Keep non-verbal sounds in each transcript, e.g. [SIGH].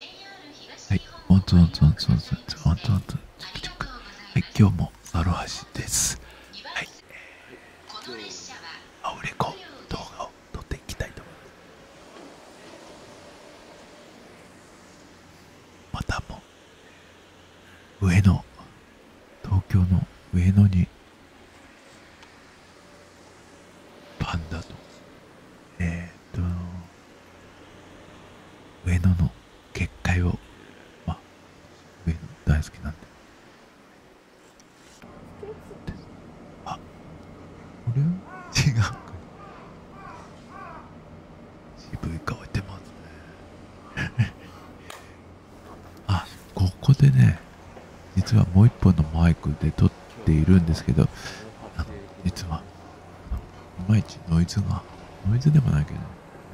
はい、おつおつおつおつおつおつおつはい、今日もアロハシです。はい、アウレコ動画を撮っていきたいと思います。またも上野、東京の上野にパンダと、えーと上野の結界をまあ上野大好きなんであこれは違う渋い顔してますね [LAUGHS] あここでね実はもう一本のマイクで撮っているんですけど実はいまいちノイズが、ノイズでもないけど、いま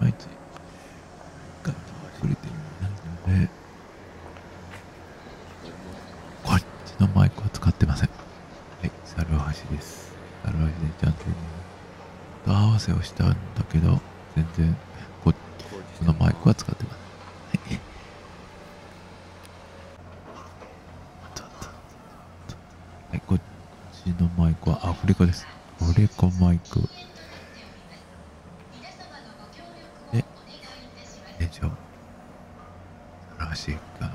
毎日、が溢れてるので、こっちのマイクは使ってません。はい、猿橋です。猿橋でちゃんと、と合わせをしたんだけど、全然、こっちのマイクは使ってません。はい。はい、こっちのマイクは、アフリカです。アフリカマイク。で、店長、らしいかな。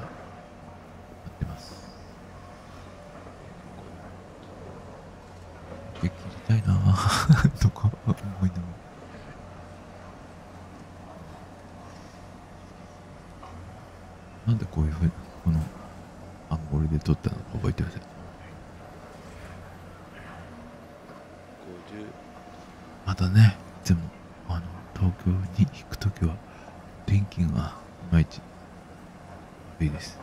たいなぁ [LAUGHS] とか思いながら。なんでこういうふうにこのアンゴ号で撮ったのか覚えてませんまたねいつもあの東京に行く時は電気がいまいち悪いです、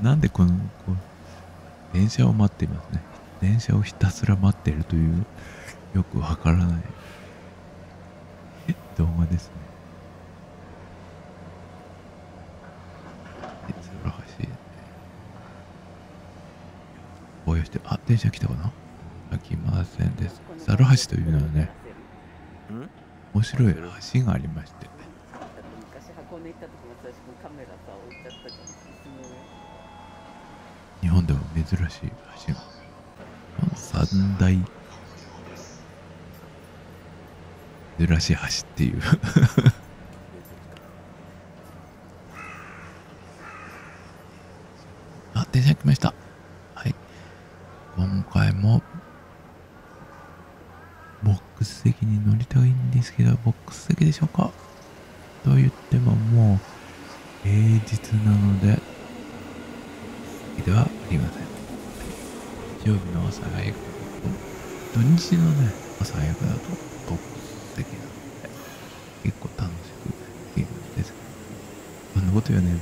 う [LAUGHS] なんでこのこう電車を待っていますね電車をひたすら待ってるというよくわからない動画ですね素らしいぼしてあ電車来たかなあきませんですザ橋というのはね面白い橋がありまして昔箱根行った時私もカメラさ置いちゃったじゃん椅子の日本でも珍しい橋が三大珍しい橋っていう [LAUGHS] あ電車来ましたはい今回もボックス席に乗りたいんですけどボックス席でしょうかと言ってももう平日なのでではありません日曜日の朝早く土日のね朝早くだと特席なので結構楽しくできるんですこんなこと言うね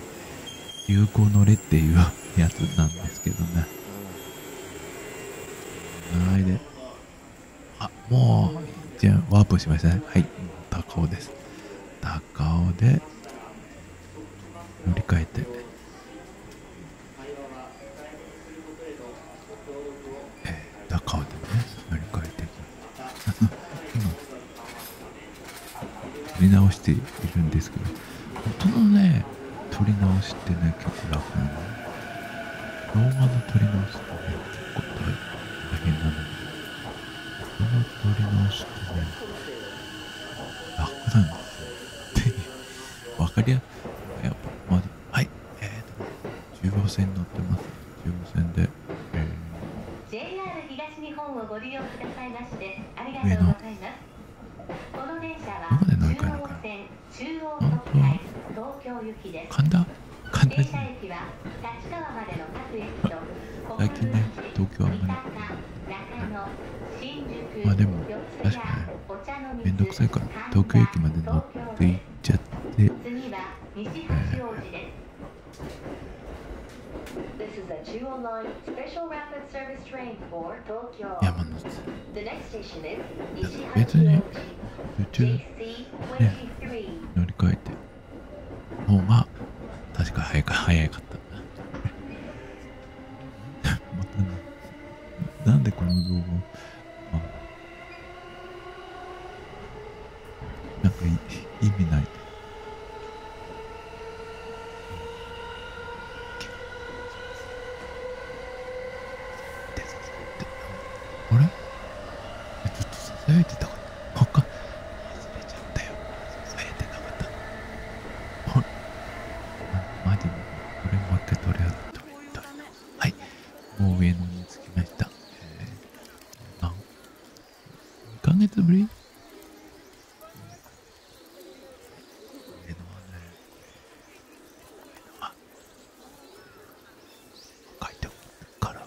流行のれっていうやつなんですけどねはいであ、もう、じゃワープしましたね。はい。高尾です。高尾で、乗り換えて。えー、高尾でもね、乗り換えていきます。今、撮り直しているんですけど、音のね、撮り直しってね、結構楽なの。動画の撮り直しってね、結構大変なの。に。から取りましてね楽だなって分かりややっぱまだはいえー、と中央線乗ってます中央線で、えー、JR 東日本をご利用くださいましてありがとうございますこの電車は中央線中央東海東京行きです神田簡単に最近ね東京はあんまり、ね、まあでも確かにめんどくさいから東京駅まで乗っていっちゃって、山の別に乗り換えての方が、確か早か、早かった。[LAUGHS] また、なんでこの動画を、なんか意味ない。あれちょっと囁いてたここ忘れちゃったよ忘えてなかったほんマジでこれもう一回取れよ取れたはいもう上野に着きました、えー、何2ヶ月ぶり上上はは。ね、書いておくから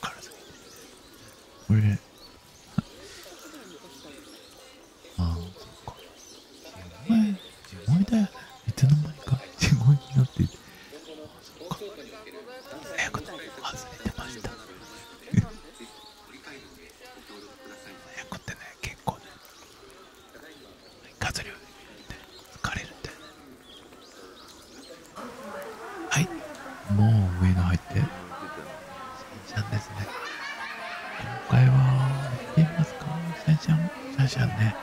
からずこれでああそっか前前だよねいつの間にか地声になっていてあそっか早く外れてました早くってね結構ねガズリをね疲れるんだよねはいもう上が入ってシャンシャンですね今回はいけますかシャンシャンシャンシャンね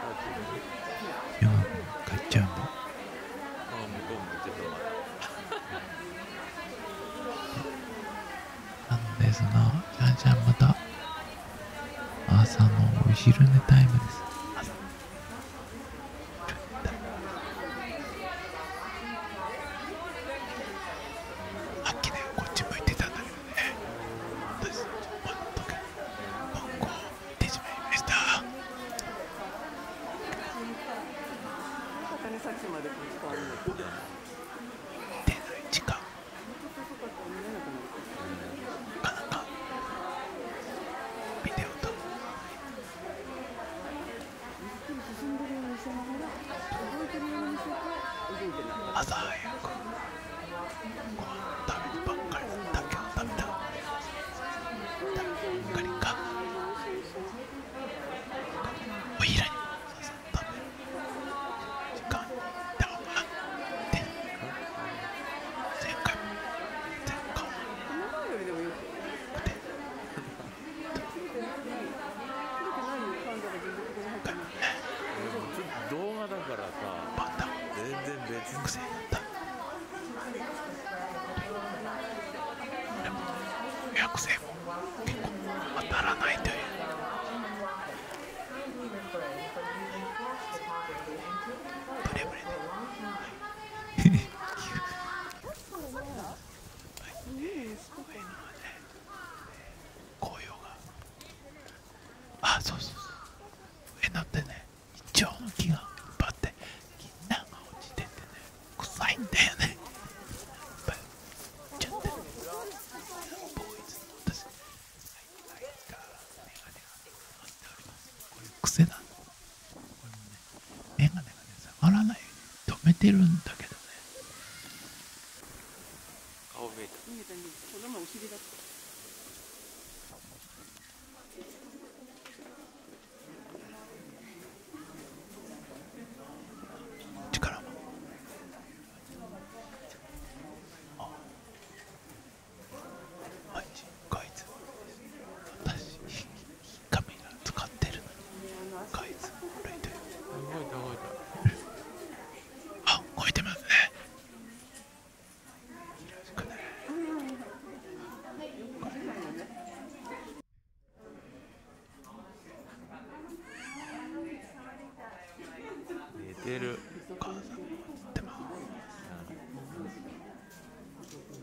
4分買っちゃうもう、うのなんですが、シャンシャンまた朝のお昼寝タイムですさっきねこっち向いてたんだけどね私全く文庫を見てしまいました出ない時間なかなかビデオと朝早くご飯食べてばっかりだけど食べた誰かにかおいらに食べる時間だからって前回も前回も動画だからさ全然別に癖になったでも予約制も結構当たらないというブレブレではいねすごいのね紅葉があそうそうそうえ、なってね一応、ョウの木がいっ張ってみんなが落ちててね臭いんだよねいっぱい落ちちゃってボーイズの私はい、ライターメガネが乗っておりますこれ癖なのこれ眼鏡がね下がらないように止めてるんだけどね顔見えた見えた見えたこの前お尻だった私紙が使ってるのにこいついていたいあ動いてますねよろしくね寝てるお母さんも映ってます、う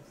ん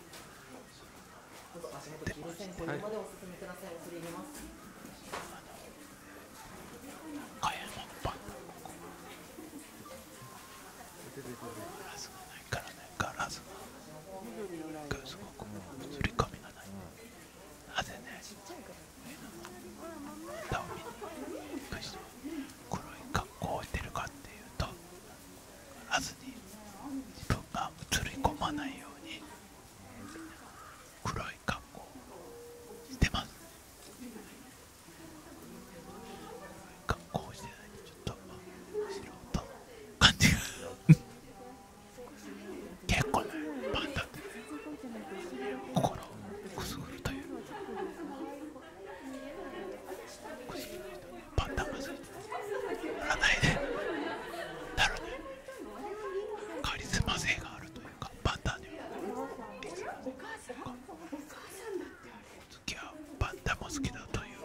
どうぞ足元黄色線保留までお進みください、恐れ入れます。かやのパンガラスがないからねガラスがガラスがこの映り紙がない、うん、なぜね歌を見に行く人黒い格好を置いてるかっていうとはずに自分が映り込まないように黒い格好をしてます格好をしてないとちょっと素人の感じが結構ねパンダってね心をくすぐるというパンダまずい占いでなるねカリスマ性があるというかパンダにはリスマ性が次はパンダも好きだという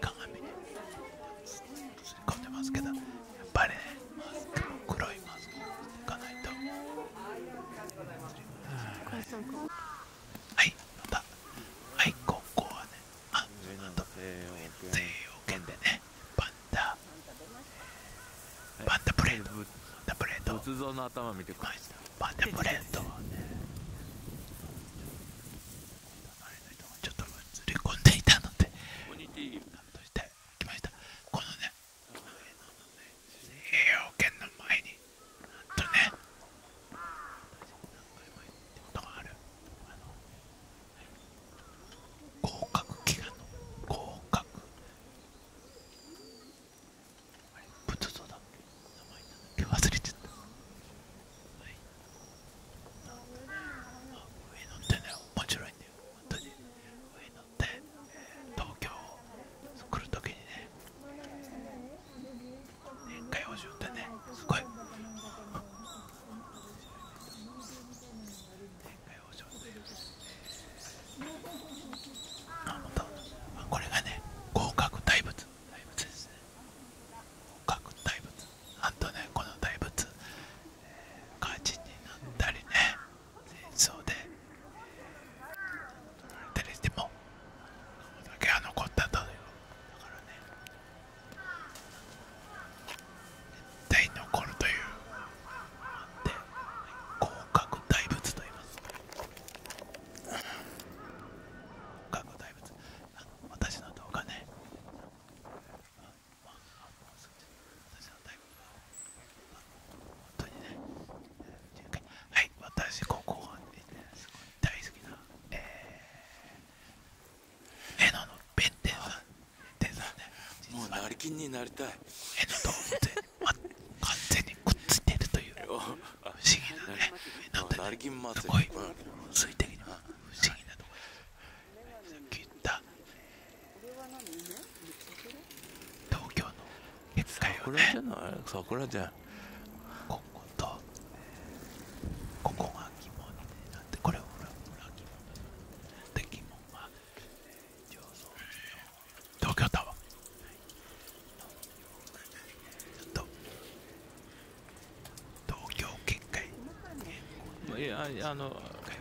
鏡に映り込んでますけど。っぱりね黒いマスクいかないとはいまたはいここはねあなんと西洋圏でねパンダパンダプレートパンダプレート仏像の頭見てくださいパンダプレートはねちょっと映り込んでいたのでカットしてきましたこのね栄養圏の前に何回も言ってことがあるあ合格祈願の合格あれ仏像だっけ名前なんだっけ忘れちゃったはいなんかね上乗ってね面白いんだよ本当に上乗で、東京来るときにね年会補充ってねすごい年会補充ってあ本当これがね合格大仏大仏ですね合格大仏あとねこの大仏、えー、になったりねそうで誰てもこだけは残ったとだからね絶対残るというで広角大仏と言います広角大仏私の動画ねはい私ここで、ね、すごい大好きなえー、えのの弁天さん弁天さんねもう成金になりたいえのと完全にくっついてるという不思議なねなんかねすごい水滴の不思議なところ聞いた、え東京のでっかいよね桜じゃこことここが着物になってこれ裏裏着物で着物は上層東京タワーちょ東京結界いやあの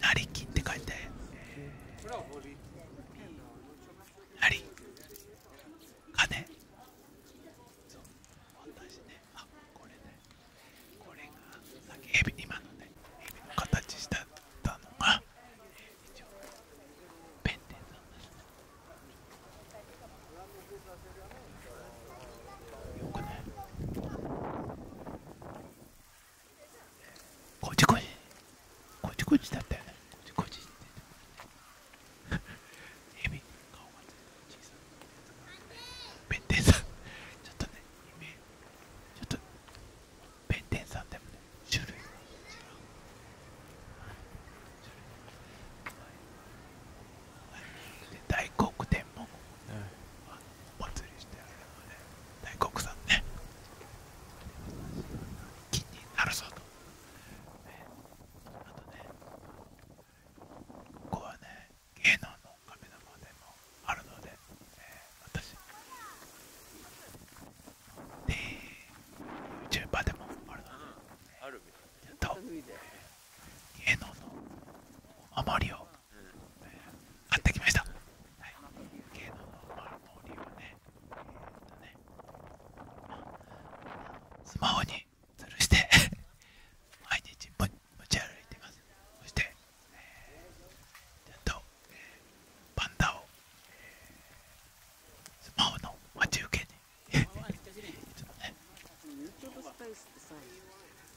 なりきって書いてなり金そう私ねあこれねこれがさっきエビに、今のねエビの形したのが一応ペンテンなんだすねよくねこじこじこじこじだったよねこじこじってヘビ弁天さんちょっとねちょっと弁天さんでもね種類が違う大黒天も、お祭りしてあげるので、ね、国産ね気になるぞと、ね、あとねここはね芸能の神様でもあるので、私で YouTuber でもあるので、やっと芸能のあまりを買ってきました、はい、芸能のマルモはね,、えっとねまあ、スマホに吊るして [LAUGHS] 毎日持ち歩いてますそして、えー、ちゃんと、パンダを、スマホの待ち受けにいつもね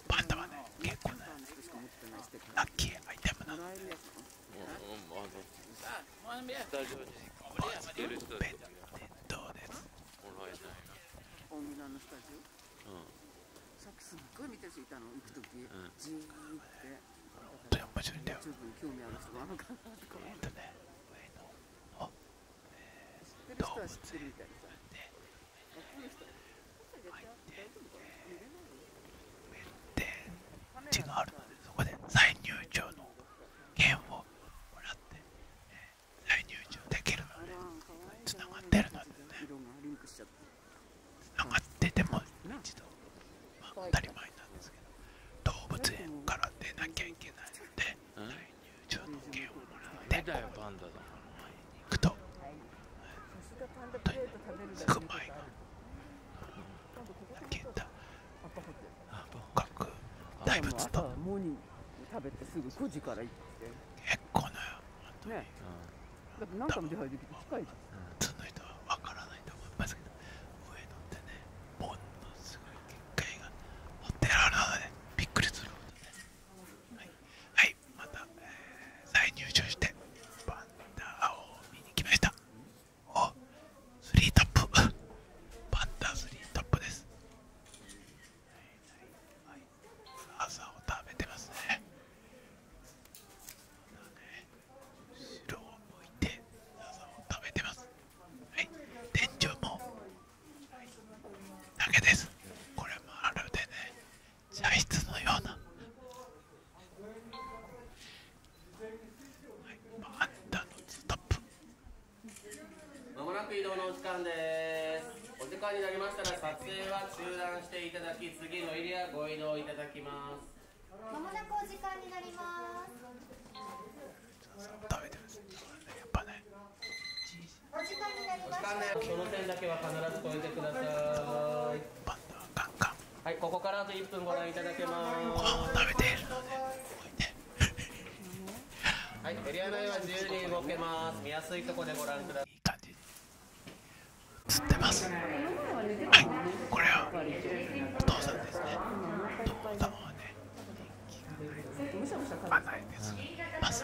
パンダはね結構ねラッキーアイテムなのでスタジオに来てる人たちがどうですもらえない大村のスタジオうんさっきすっごい見たいたの行く時、うん、ジって十分興味ある人あるかなとかあ、えー、知ってるるみたいさ、ね、この人入ってメッテがあるのでそこで再入場の券をもらって、え再入場できるのでつながってるのでねつながってても一度、当たり前なんですけど動物園から出なきゃいけないので再入場の券をもらってここに行くとすごい健太本格大仏とモニ食べてすぐ9時から行って結構なねだって何回も出入りできて近いじゃん普通のは分からないと思いますけど上野ってねものすごい結界が掘てあるでびっくりするはい、はい、また、えー、再入場してバン。ダーを見に来ました。おスリートップ。[LAUGHS] パンダスリートップです。はい、朝を食べてますね。まね後ろを向いて朝を食べてます。はい、天井も、はい、だけです。これもあるでね、茶室のようなはい、ストップまもなく移動のお時間ですお時間になりましたら撮影は中断していただき次のエリアご移動いただきますまもなくお時間になります食べてますやっぱねお時間になりましたその点だけは必ず超えてくださいバンダーカンカンはい、ここからあと1分ご覧いただけます。ご飯食べているので、はい、エリア内は自由に動けます。見やすいとこでご覧ください。いってます。はい、これはお父さんですね。お父様はね、人気がない。案内です。まず。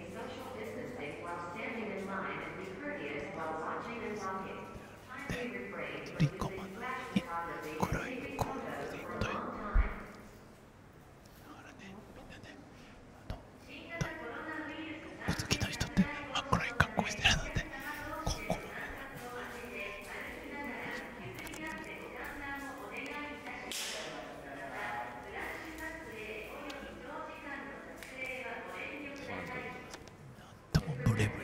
maintain social distancing while standing in line and be courteous while watching and walking. Kindly refrain from using flash photography and taking photos for a long time. だからね、みんなね、あの、お好きな人って、あ、これ格好してるので、ここもね、なんともブレブレは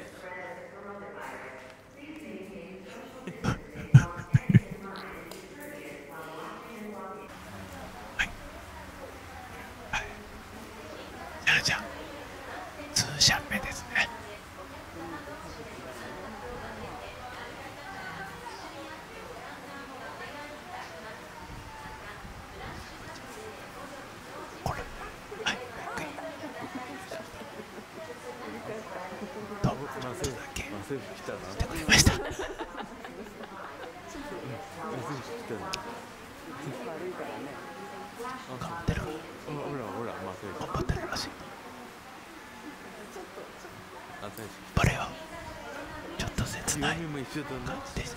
いはいじゃじゃ通車目ですねこれはいどうもちょっとだけ来てくれました頑張ってる頑張ってるらしいバレよちょっと切ない感じです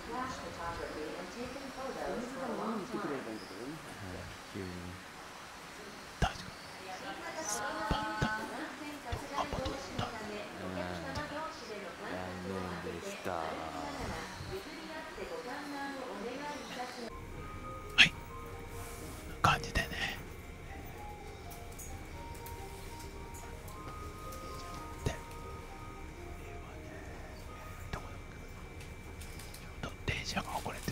flash photography and taken photos for a long time. はい感じでねで、えーね、どこだっけょっと電車が遅れてて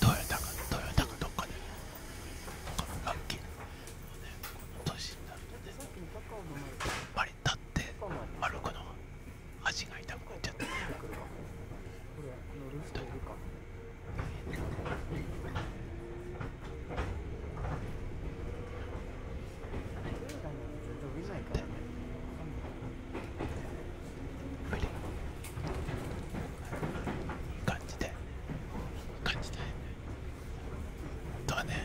トヨタがトヨタがどっかでラッキー年になるとねやっぱり立って歩くの足が痛くなっちゃって。でも感じて感じてドアね。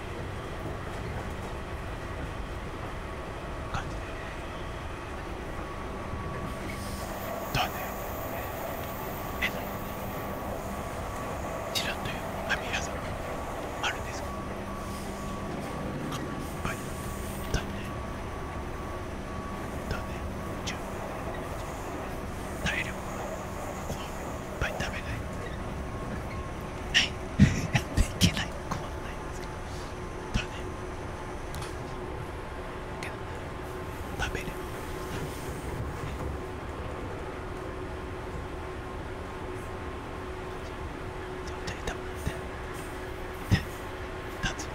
感じで。だねえっちらっという網屋さんあるんですか乾杯だねだね十分体力が怖いぱい食べないはいやってない困らないですだねけど食べればそっちに食べてで立つ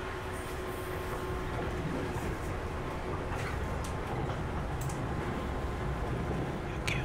雪を。雪を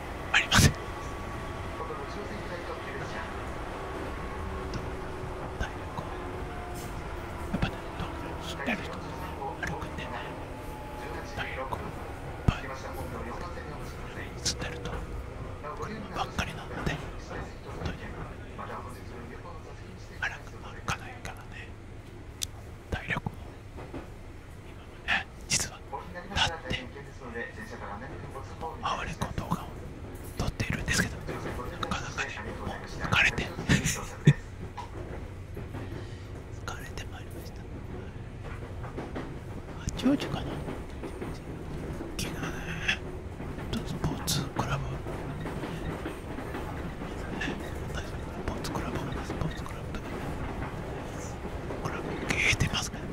ありませてる人歩くんでねをいっぱい映てるとばっかりなので本当に歩かないからね体力も実はだってアオ動画を撮っているんですけどなかなか疲れて疲れてまいりました八王子かな昨日ねスポーツクラブスポーツクラブスポーツクラブとかクラブ消えてますか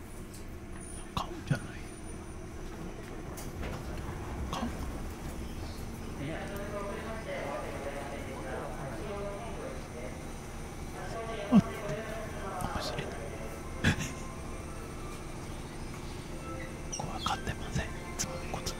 買うんじゃない買うあって面白いここは買ってませんつまみこつで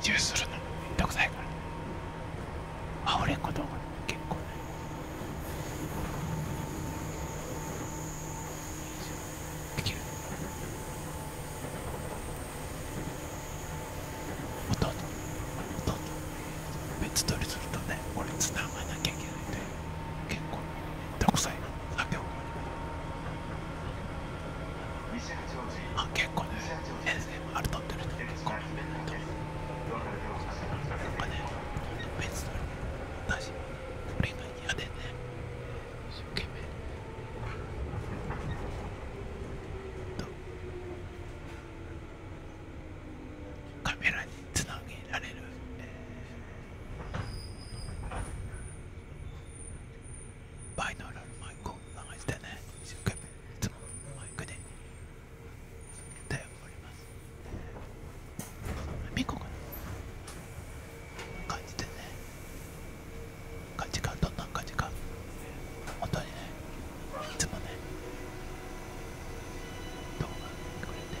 移住するのめんどくさいからねあ俺子供結構ねできる弟弟別取りするとね俺つながなきゃいけないんだよ。結構独裁。さん酒をあ結構ね SMR 撮ってる人結構なんかね別の私これがでね一生懸命カメラににげられる、バイノーラルマイクを流してね一生懸命いつもマイクで歌っますミコが感じてね感じかどんな感じか本当にねいつもね動画くれて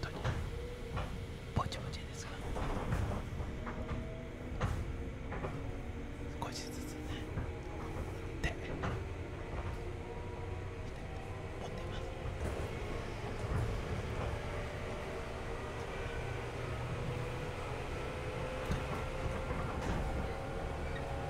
当にぼちぼちですが少しずつねで持っています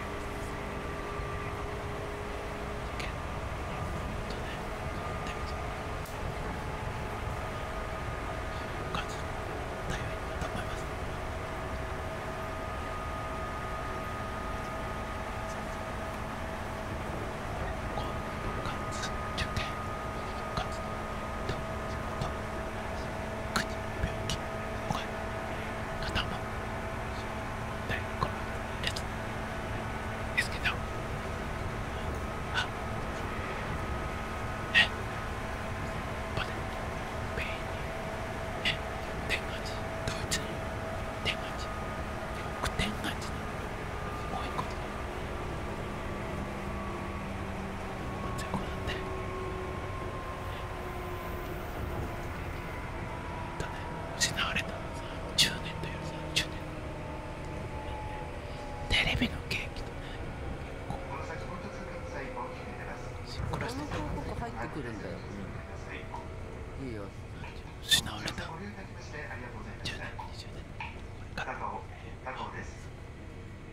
といます。国病気声頭ねこのやつですけどあねバネペインね天眼寺ドイツに天眼寺僕天にもう一個で全部なんでだね失われた10年だよ10年テレビのケーキとねこここのとこ入ってくるんだよ、いいよ失われた10年20年これから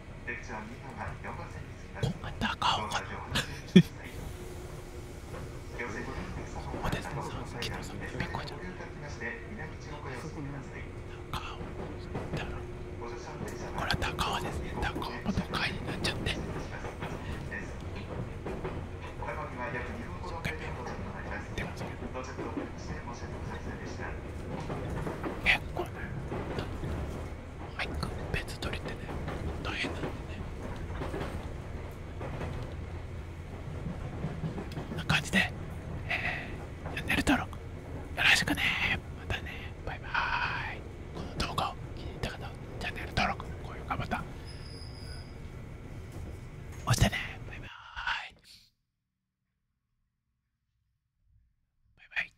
こんなに高尾かなおでさんさん、昨日さん、びっこじゃん。高尾だろ。これは高尾ですね。高尾も高いになっちゃって。結構ね。はい別取りってねう大変なんでねこんな感じで、えチャンネル登録よろしくねまたねバイバーイこの動画を気に入った方はチャンネル登録高評価ボタン押してねバイバーイバイバイ